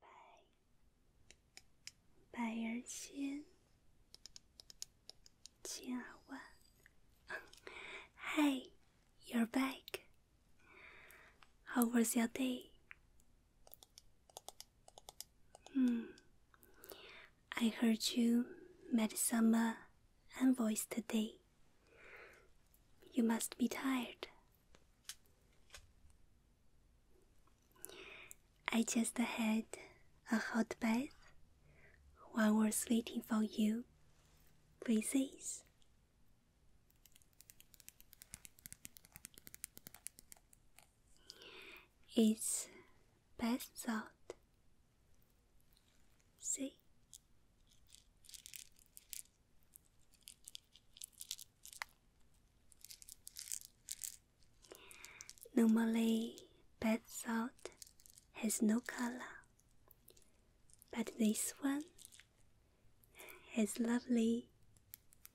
百百儿千，千儿万。hey, you're back. How was your day? Hmm. I heard you met some uh, envoys today. You must be tired, I just had a hot bath while we're waiting for you, please. It's bath salt. See? Normally, bath salt has no color, but this one has lovely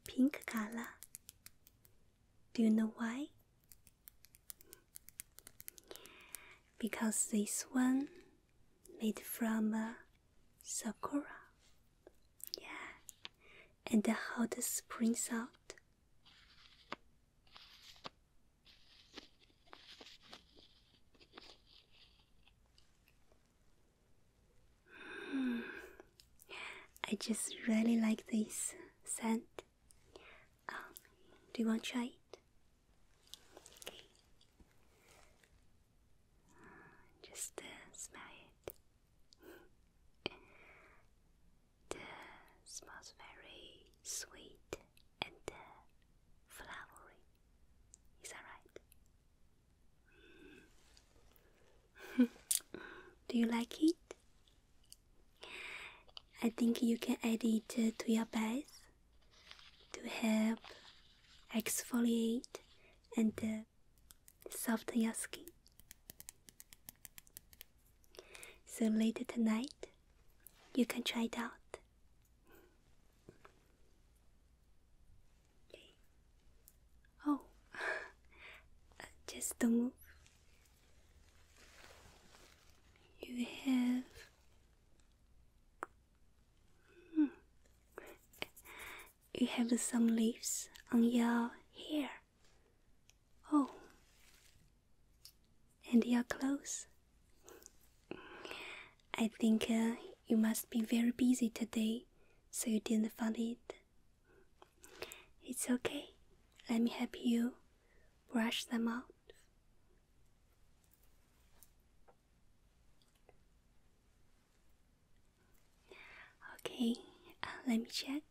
pink color. Do you know why? Because this one made from Sakura. Yeah. And how the spring out. Hmm. I just really like this scent. Um, do you want to try it? Just smell it. it smells very sweet and flowery. Is that right? Do you like it? I think you can add it to your bath to help exfoliate and uh, soft your skin. So later tonight, you can try it out. Oh, just don't move. You have. Hmm, you have some leaves on your hair. Oh, and your clothes. I think uh, you must be very busy today, so you didn't find it. It's okay. Let me help you brush them out. Okay, uh, let me check.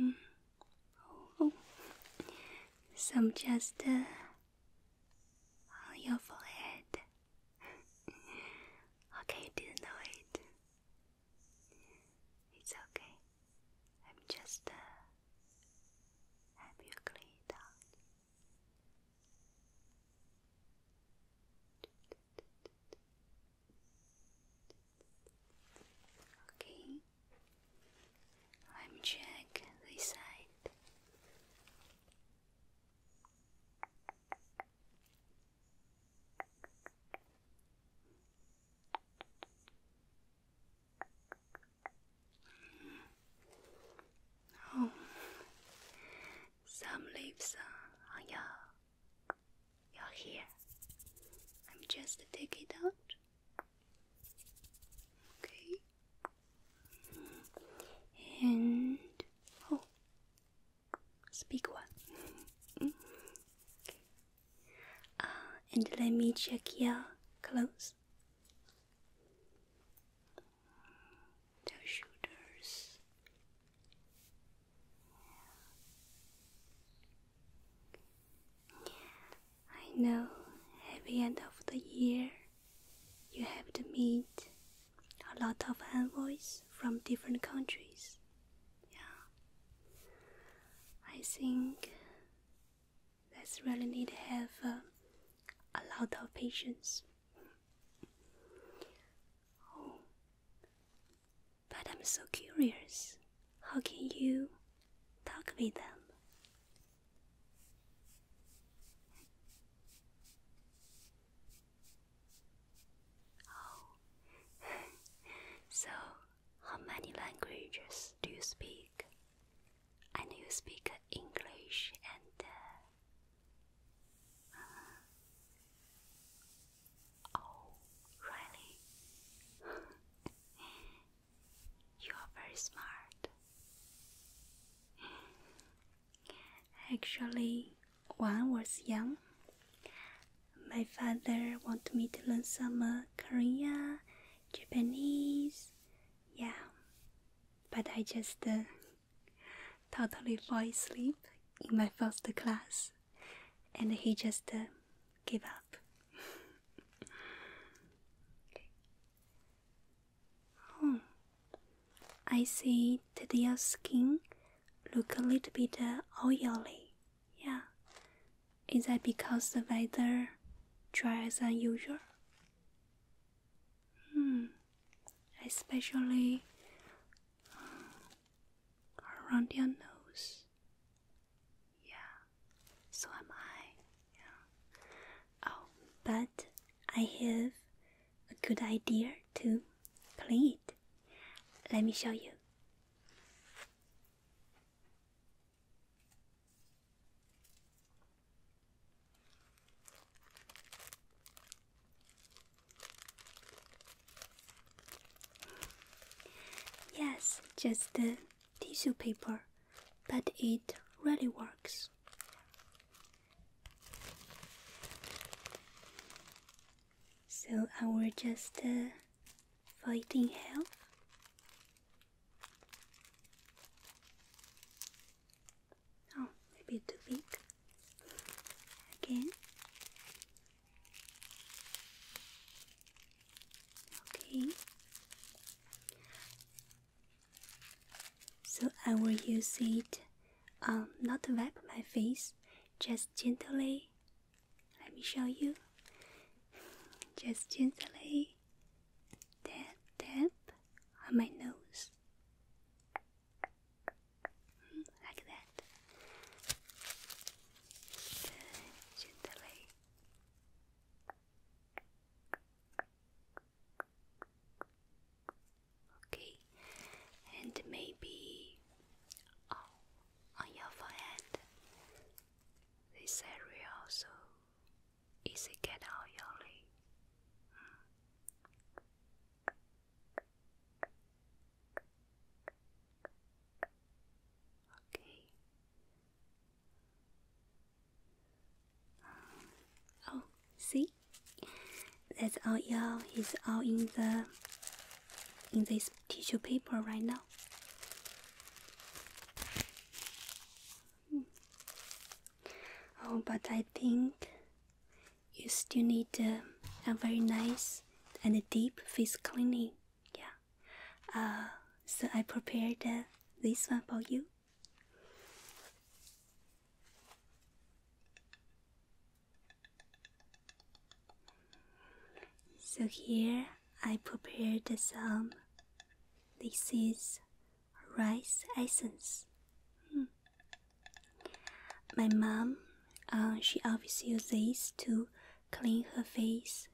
Mm, oh, some just uh, on your forehead. okay, didn't know It's okay. I'm just uh, you clean it out. Okay, let me check this side. Oh, some leaves uh, on your, your hair. I'm just take it out. Okay. And oh, speak one. okay. Uh, and let me check your clothes the shoulders. I know at the end of the year you have to meet a lot of envoys from different countries. Yeah. I think that's really need to have uh, a lot of patience Oh, but I'm so curious. How can you talk with them? Oh, so how many languages do you speak? I know you speak English and uh, Oh, really? you are very smart. Actually, when I was young, my father wanted me to learn some uh, Korean, Japanese, yeah. But I just uh, totally fall asleep in my first class, and he just uh, gave up. Oh, I see that your skin look a little bit uh, oily. Yeah, is that because the weather dry as usual? Hmm especially uh, around your nose. Yeah, so am I. Yeah. Oh, but I have a good idea to clean it. Let me show you. Yes, just the tissue paper, but it really works. So I will just uh, fighting health. Oh, maybe too big. Again. Okay. So I will use it, um, not to wipe my face, just gently. Let me show you. Just gently Tap, tap on my nose. Hmm, like that. Gently. Okay, and maybe oh, on your forehead, this area also get out your 一起感到忧虑。Okay. Oh, see, that's all y'all is all in the in this tissue paper right now. Oh, but I think you still need uh, a very nice and deep face cleaning. Yeah. Uh, so I prepared uh, this one for you. So here I prepared some. This is rice essence. Hmm. My mom, uh, she always uses this to clean her face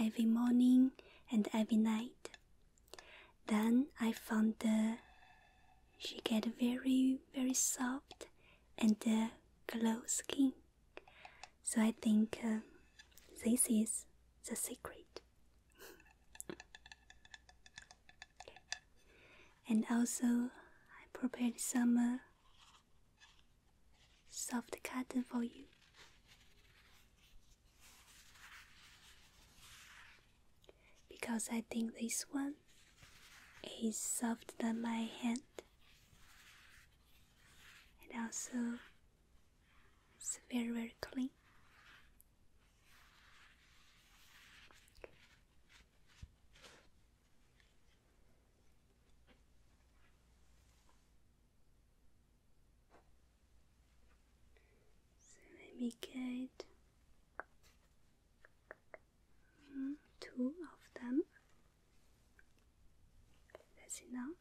every morning and every night. Then I found that she get very very soft and uh, glow skin. So I think uh, this is the secret and also I prepared some uh, soft cotton for you. Because I think this one is softer than my hand, and also it's very very clean. So let me get two of them. That's enough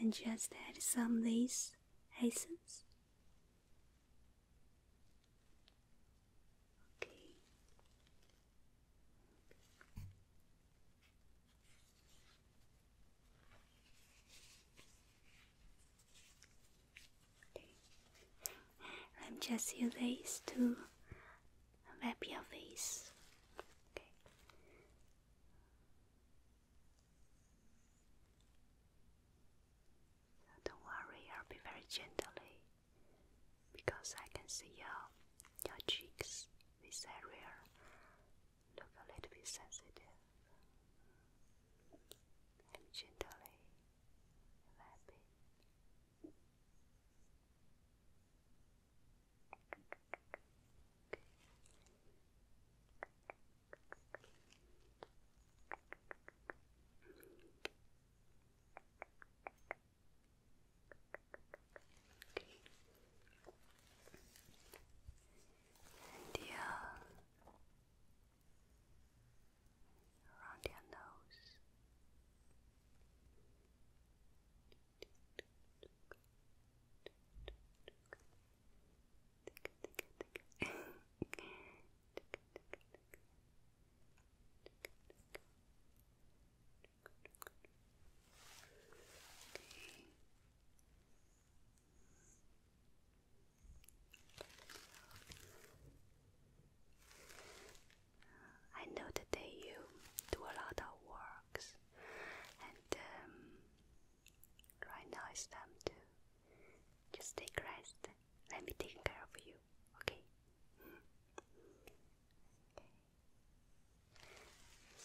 and just add some lace essence. Okay. okay. I'm just use lace to wrap your face. don't worry, I'll be very gently eh? because I can see your your cheeks. This area look a little bit sensitive. And gently wrap eh? it. And yeah, around your nose. I know day you do a lot of work and um, right now it's time to just take rest. Let me take care of you, okay? okay.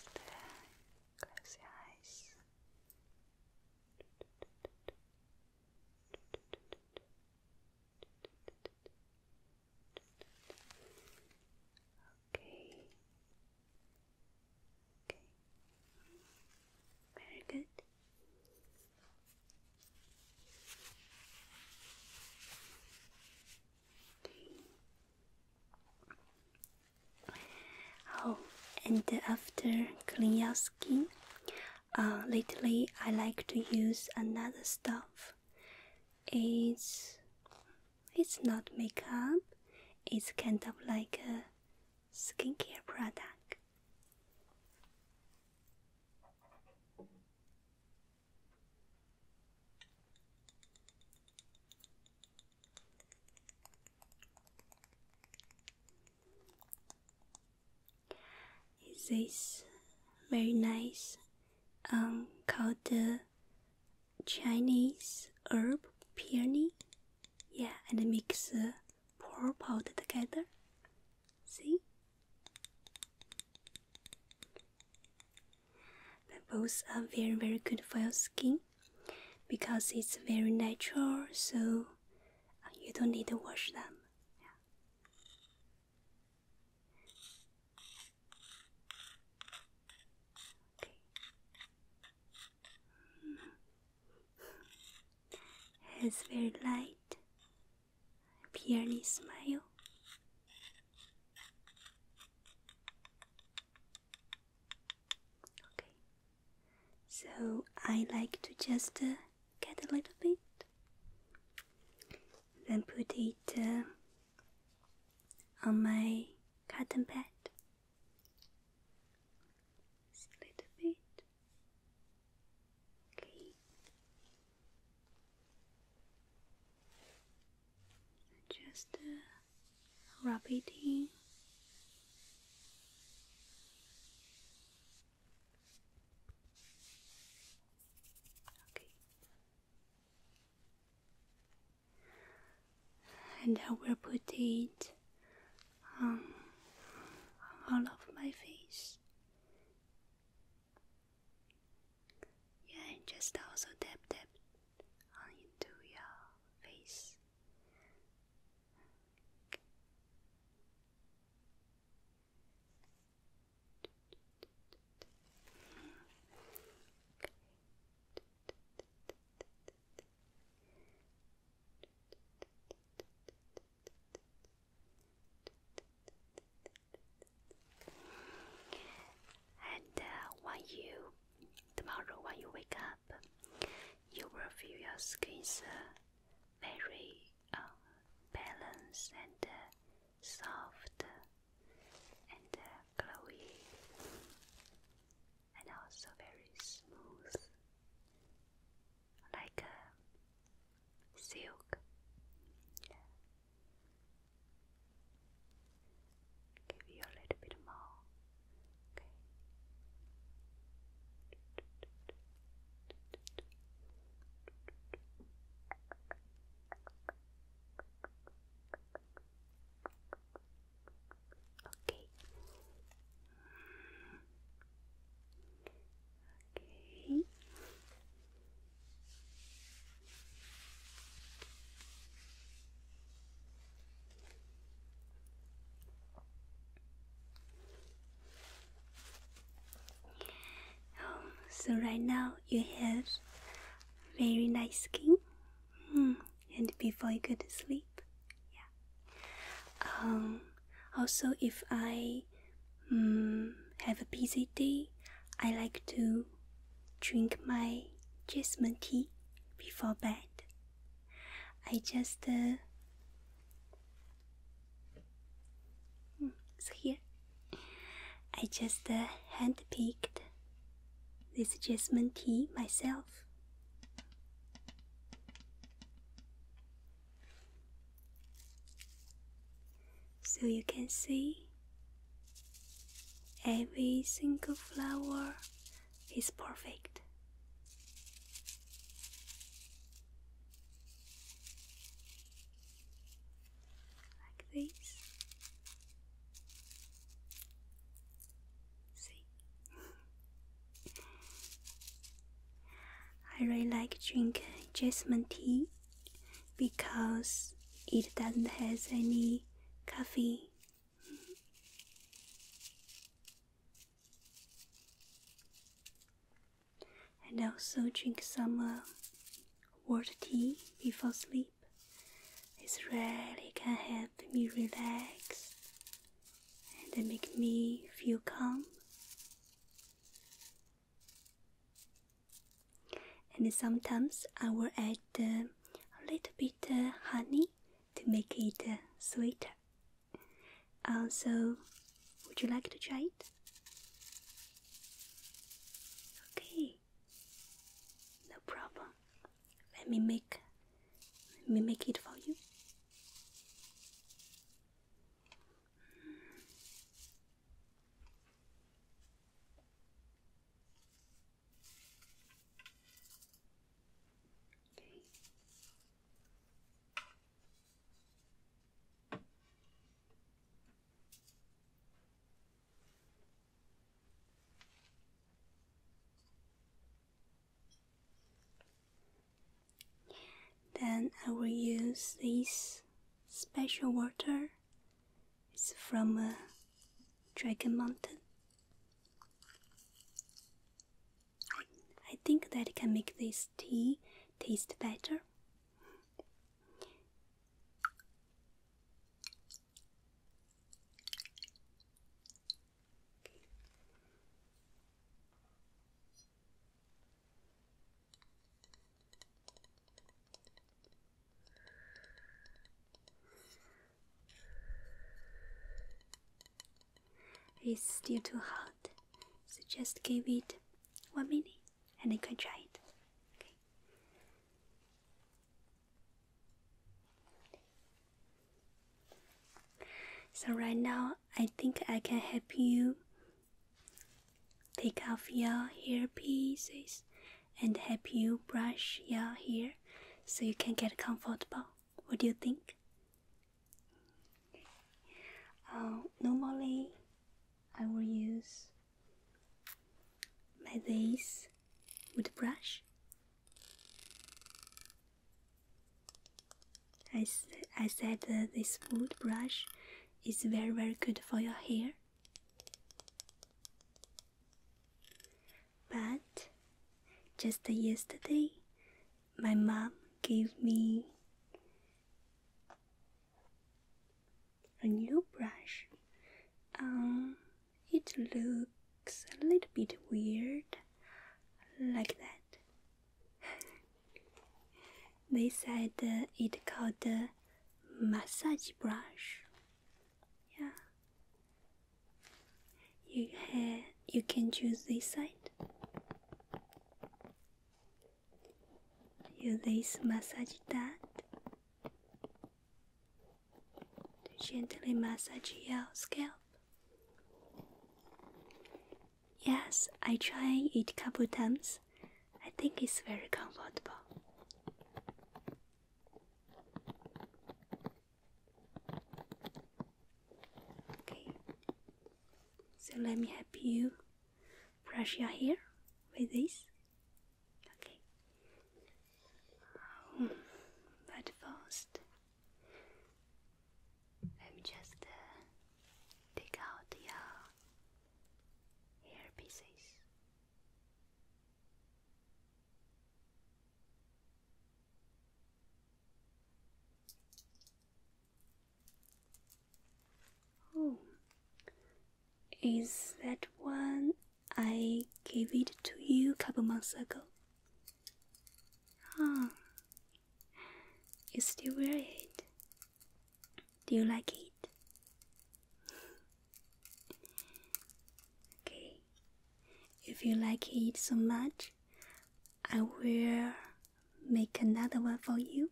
Uh, close your eyes. Okay. Okay. Very good. Okay. Oh, and after clean your skin, uh, lately I like to use another stuff. It's it's not makeup, it's kind of like a skincare product. Is this very nice um called the Chinese herb peony. Yeah, and mix uh, pour powder together. See? But both are very very good for your skin because it's very natural, so uh, you don't need to wash them. Okay. Has very light, peony smile. Okay. So I like to just uh, get a little bit, then put it uh, on my cotton pad. Just a little bit. Okay. Just uh, rub it Okay and I will put it um, all of my face. Yeah, and just also dab, dab on your face. And uh, when you tomorrow when you wake up, you will feel your skin is uh, very uh, balanced and soft and uh, glowy, and also very smooth, like a silk. Give you a little bit more. Okay. Okay. Okay. Um, so right now you have very nice skin hmm. and before I go to sleep yeah um, also if i hmm, have a busy day i like to drink my jasmine tea before bed i just uh, hmm, so here I just uh, hand picked this jasmine tea myself. So you can see every single flower is perfect like this. See, I really like drink jasmine tea because it doesn't has any coffee, And also drink some uh, Water tea before sleep. It really can help me relax and make me feel calm. And sometimes I will add a little bit of honey to make it uh, sweeter. Also, would you like to try it? Okay. No problem. Let me make let me make it for you. Okay. Then I will use this special water. It's from dragon mountain. I think that can make this tea taste better. It's still too hot, so just give it one minute and you can try it. Okay. So right now, I think I can help you take off your hair pieces and help you brush your hair so you can get comfortable. What do you think? Uh, normally, I will use my this with brush. I, I said this wood brush is very very good for your hair. But just yesterday, my mom gave me a new brush. Um, it looks a little bit weird, like that. they said uh, it called massage brush. Yeah. You ha you can choose this side. You lace massage that to gently massage your scalp. Yes, I tried it couple times. I think it's very comfortable. Okay, so let me help you brush your hair with this. Okay. Um, but first, let me just uh, out your hair pieces. Oh, is that one I gave it to you a couple months ago? Ah, you still wear it. Do you like it? okay, if you like it so much, I will make another one for you.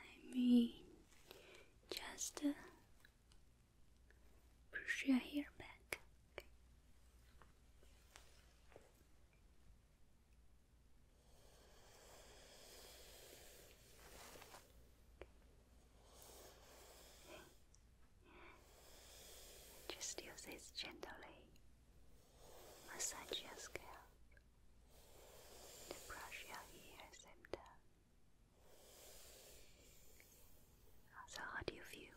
I mean, just uh, push your hair back. Just use this gently. Massage your scalp to brush your ears and down. So, how do you feel?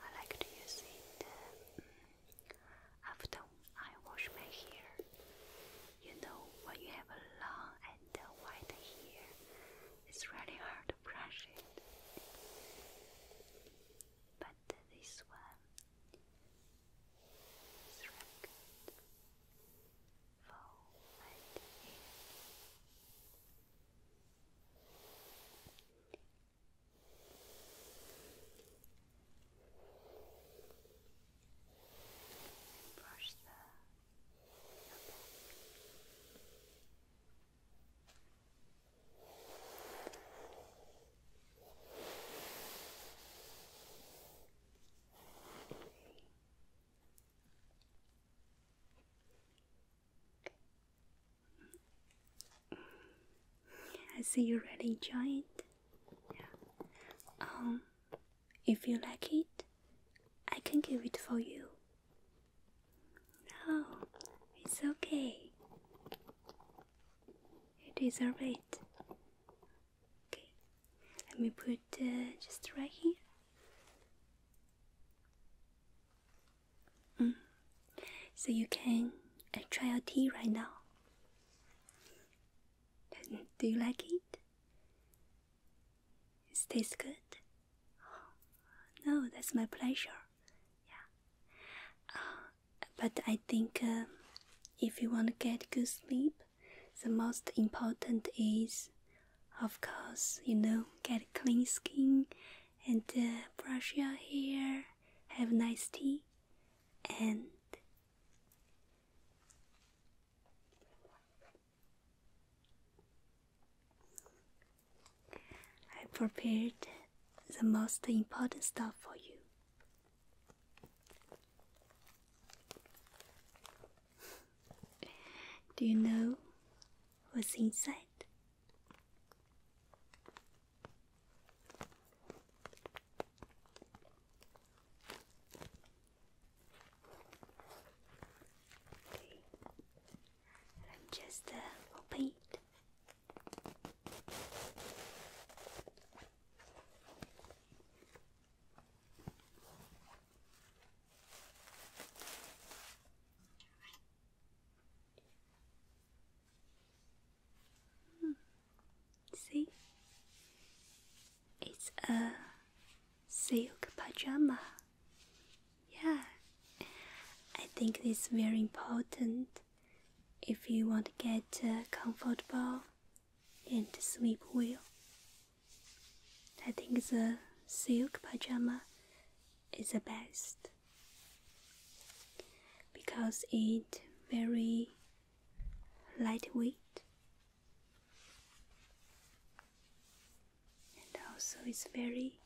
I like to use it um, after I wash my hair. You know, when you have a long and uh, hair, it's really hard to brush it. But this one is really good forward here. And brush the I see you really enjoy it. Yeah. Um, if you like it, I can give it for you. No, it's okay. You deserve it. Okay, let me put uh, just right here. Mm. So you can uh, try your tea right now. Do you like it? It tastes good. no, that's my pleasure. Yeah. Uh, but I think uh, if you want to get good sleep, the most important is, of course, you know, get clean skin and uh, brush your hair, have nice tea, and I prepared the most important stuff for you. Do you know what's inside? I'm just uh, open Hmm. See, it's a silk pajama. Yeah, I think it's very important if you want to get uh, comfortable and sleep well. I think the silk pajama is the best because it very lightweight and also it's very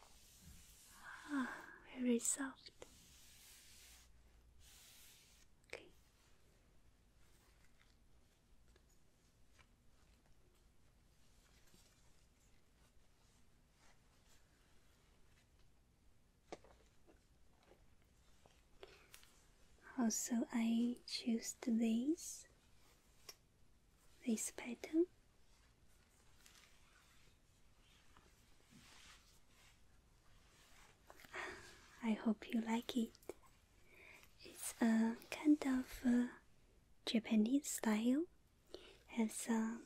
ah, very soft okay also, I choose this this pattern. I hope you like it. It's a kind of Japanese style. Has some um,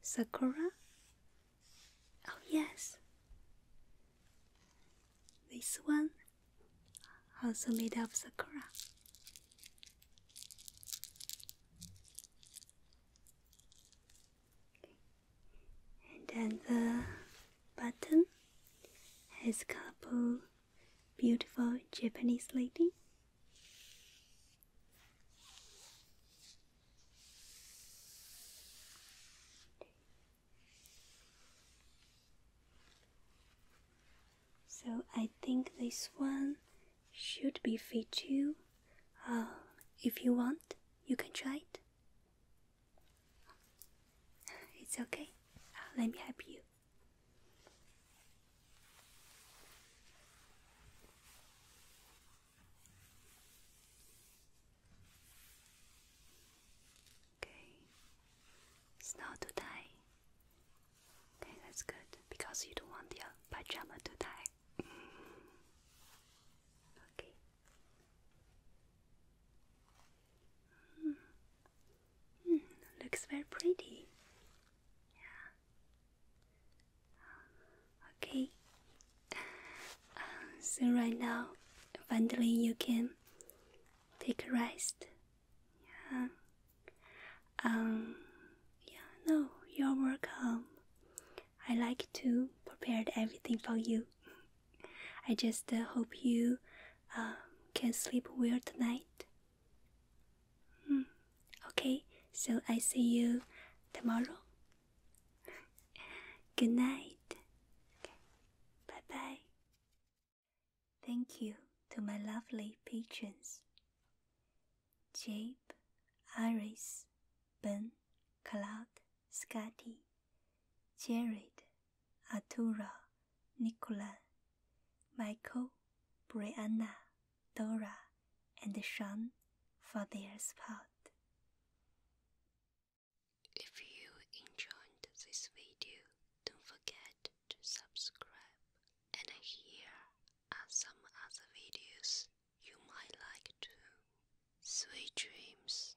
sakura. Oh yes, this one also made of sakura. And then the button has couple beautiful Japanese lady. So I think this one should be fit you. Uh, if you want, you can try it. It's okay. Uh, let me help you. Okay. It's not too Okay, that's good because you don't want your pajama to tie. okay. Mm. Mm, looks very pretty. Yeah. Okay. Uh, so right now, finally you can take a rest. Yeah. Um. Yeah. No, you're welcome. I like to prepare everything for you. I just uh, hope you uh, can sleep well tonight. Hmm. Okay, so I see you tomorrow. Good night. Bye bye. Thank you to my lovely patrons Jape, Iris, Ben, Cloud, Scotty, Jared, Arturo, Nicola, Michael, Brianna, Dora, and Sean for their support. If you enjoyed this video, don't forget to subscribe. And here are some other videos you might like too. Sweet dreams.